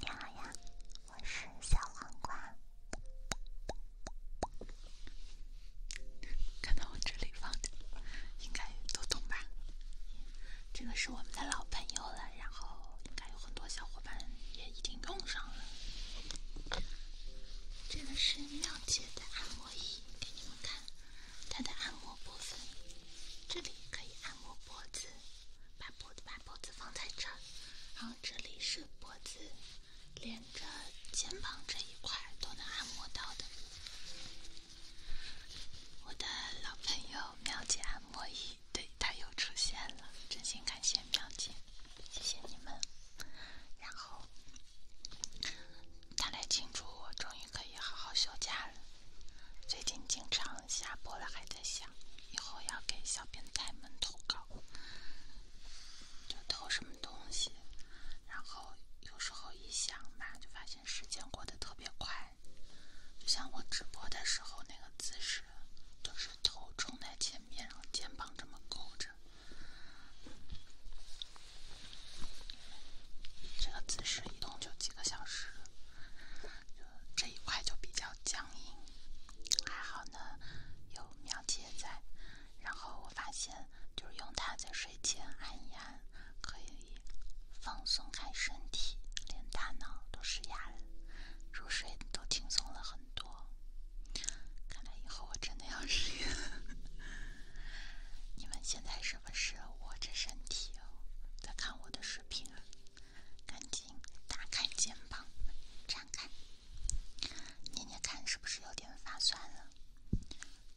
你好呀，我是小黄瓜。看到我这里放的，应该都懂吧？这个是我们的老朋友了，然后应该有很多小伙伴也已经用上了。这个是妙姐的按摩仪，给你们看它的按摩部分。这里可以按摩脖子，把脖子把脖子放在这儿，然后这里是脖子，连着肩膀这一块都能按摩到的。我的老朋友妙姐按摩椅，对，它又出现了，真心感谢妙姐，谢谢你们。然后。他来庆祝我终于可以好好休假了。最近经常下播了，还在想以后要给小变态们投稿，就投什么东西。然后有时候一想，马就发现时间过得特别快。就像我直播的时候那个姿势，就是头冲在前面，然后肩膀这么勾着。这个姿势一动就几个小时，就这一块就比较僵硬，还好呢，有苗姐在。然后我发现，就是用它在睡前按一按，可以放松开身体，连大脑都是哑的，入睡都轻松了很多。看来以后我真的要试 用。你们现在是？不是我这身体哦，在看我的视频，赶紧打开肩膀，展开，捏捏看是不是有点发酸了？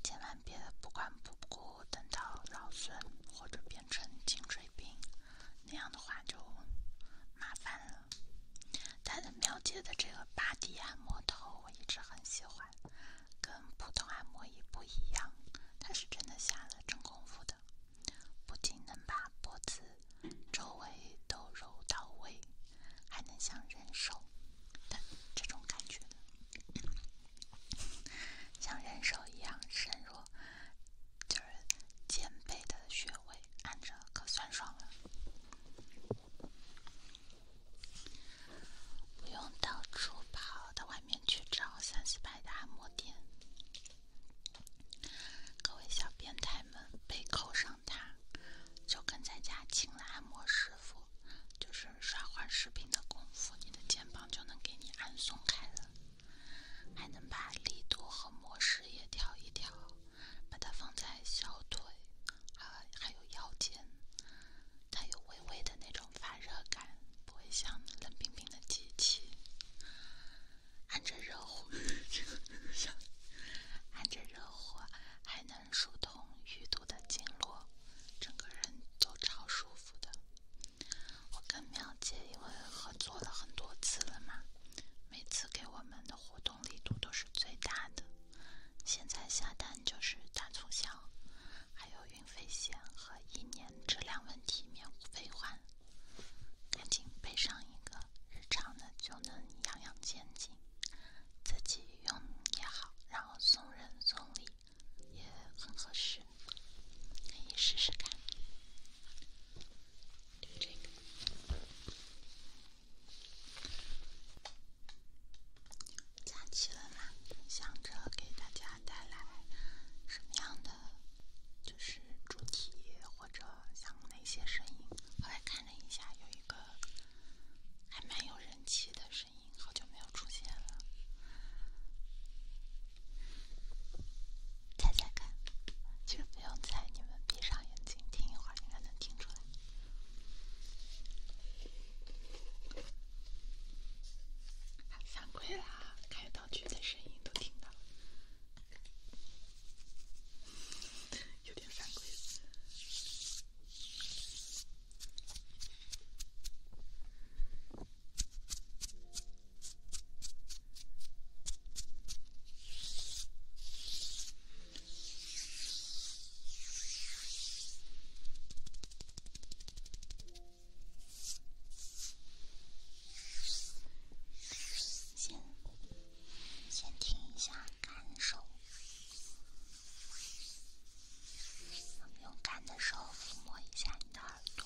千万别不管不顾，等到劳损或者变成颈椎病，那样的话就麻烦了。他的喵姐的这个巴迪按摩头，我一直很喜欢。跟普通按摩椅不一样，它是真的下了真功夫的，不仅能把脖子周围都揉到位，还能像人手的这种感觉，像人手一样深入，就是肩背的穴位按着可酸爽了。不用到处跑到外面去找三四百的按摩店，各位小变态们，背扣上它，就跟在家请了按摩师傅，就是刷会视频的功夫，你的肩膀就能给你按松开了，还能把力度和模式也调一调，把它放在小腿，还还有腰间。它有微微的那种发热感，不会像冷冰冰的机器。按着热乎，按着热乎，还能疏通淤堵的经络，整个人都超舒服的。我跟妙姐因为合作了很多次了嘛，每次给我们的活动力度都是最大的，现在下单就是大促销。还有运费险和一年质量问题免费换，赶紧备上一个日常的就能养养心情，自己用也好，然后送人送礼也很合适，可以试试看。这个。假期了嘛，想着给大家带来什么样的，就是主题或者想哪些声音。后来看了一下，有一个还蛮有人气的声音，好久没有出现了。猜猜看？其实不用猜，你们闭上眼睛听一会儿，应该能听出来。惭愧啦，开道具的声音都听到了，有点惭愧。先先听一下感受，用干的手抚摸一下你的耳朵。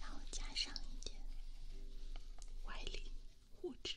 然后加上一点外力，物质。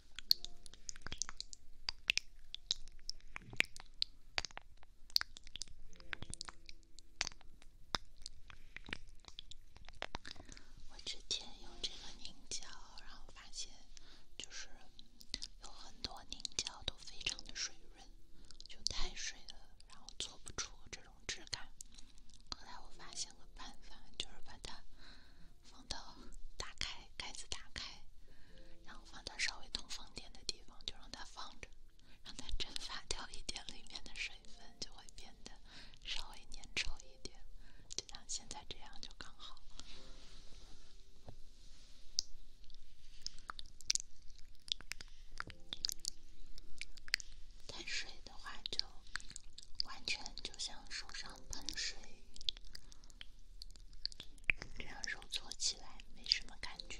我之前用这个凝胶，然后发现就是有很多凝胶都非常的水润，就太水了，然后做不出这种质感。后来我发现个办法，就是把它。放到打开盖子，打开，然后放到稍微通风点的地方，就让它放着，让它蒸发掉一点里面的水分，就会变得稍微粘稠一点，就像现在这样就刚好。太水的话，就完全就像手上喷水。这样揉搓起来没什么感觉。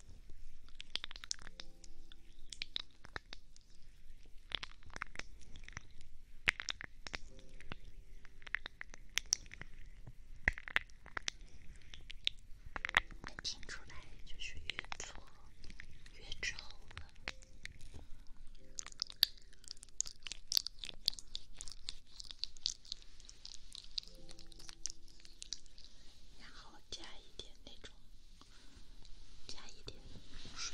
能听出来，就是越做越丑了。然后加一点那种，加一点水。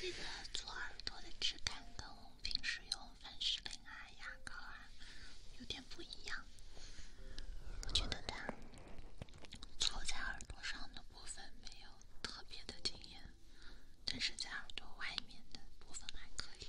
这个做耳朵的质感跟平时用。凡士林啊，牙膏啊，有点不一样。我觉得它套在耳朵上的部分没有特别的经验，但是在耳朵外面的部分还可以。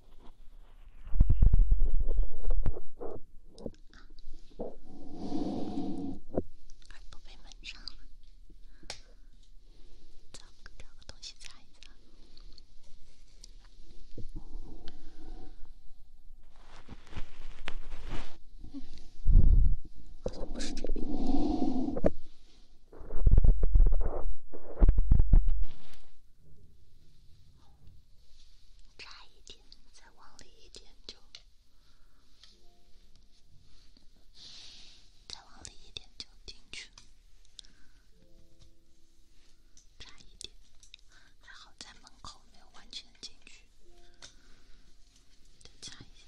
耳朵被闷上了，咱们找个东西擦一擦。嗯，好像不是这边。差一点，再往里一点就，再往里一点就进去，差一点，还好在门口没有完全进去，再差一点。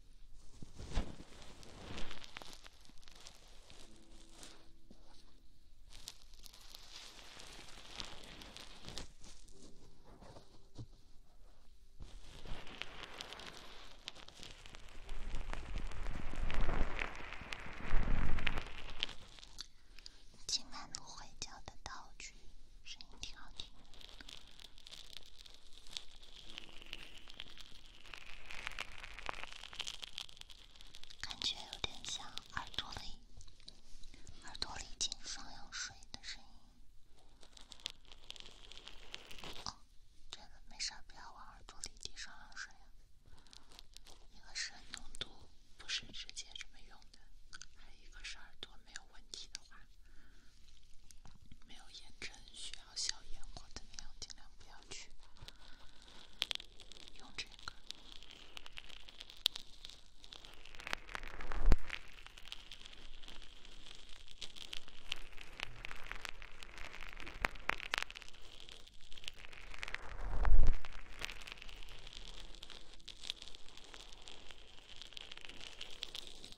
今晚回睡的道具，声音挺好听。感觉有点像耳朵里、耳朵里进双氧水的声音。哦，真没事，不要往耳朵里滴双氧水啊！一个是浓度，不是直接这么用的；还有一个是耳朵没有问题的话，没有炎症需要。小烟火的那样，尽量不要去用这个。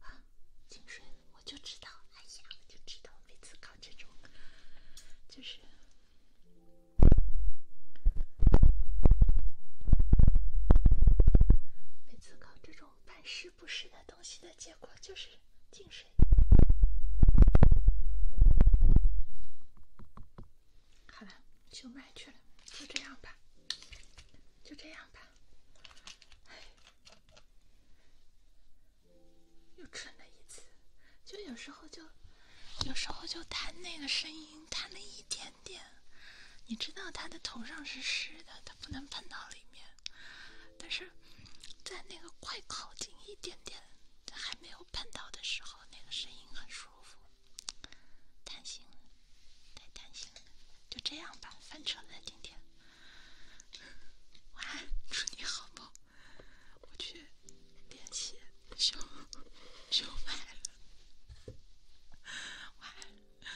啊，进水我就知道，哎呀，我就知道，每次搞这种，就是每次搞这种办事。不湿的东西的结果就是进水。好了，就卖去了，就这样吧，就这样吧。又蠢了一次，就有时候就，有时候就弹那个声音弹了一点点。你知道他的头上是湿的，他不能喷到里面。但是在那个快靠近一点点、还没有碰到的时候，那个声音很舒服。贪心太贪心了，就这样吧，翻车了，今天。晚安，祝你好梦。我去练习修修麦了。晚 安。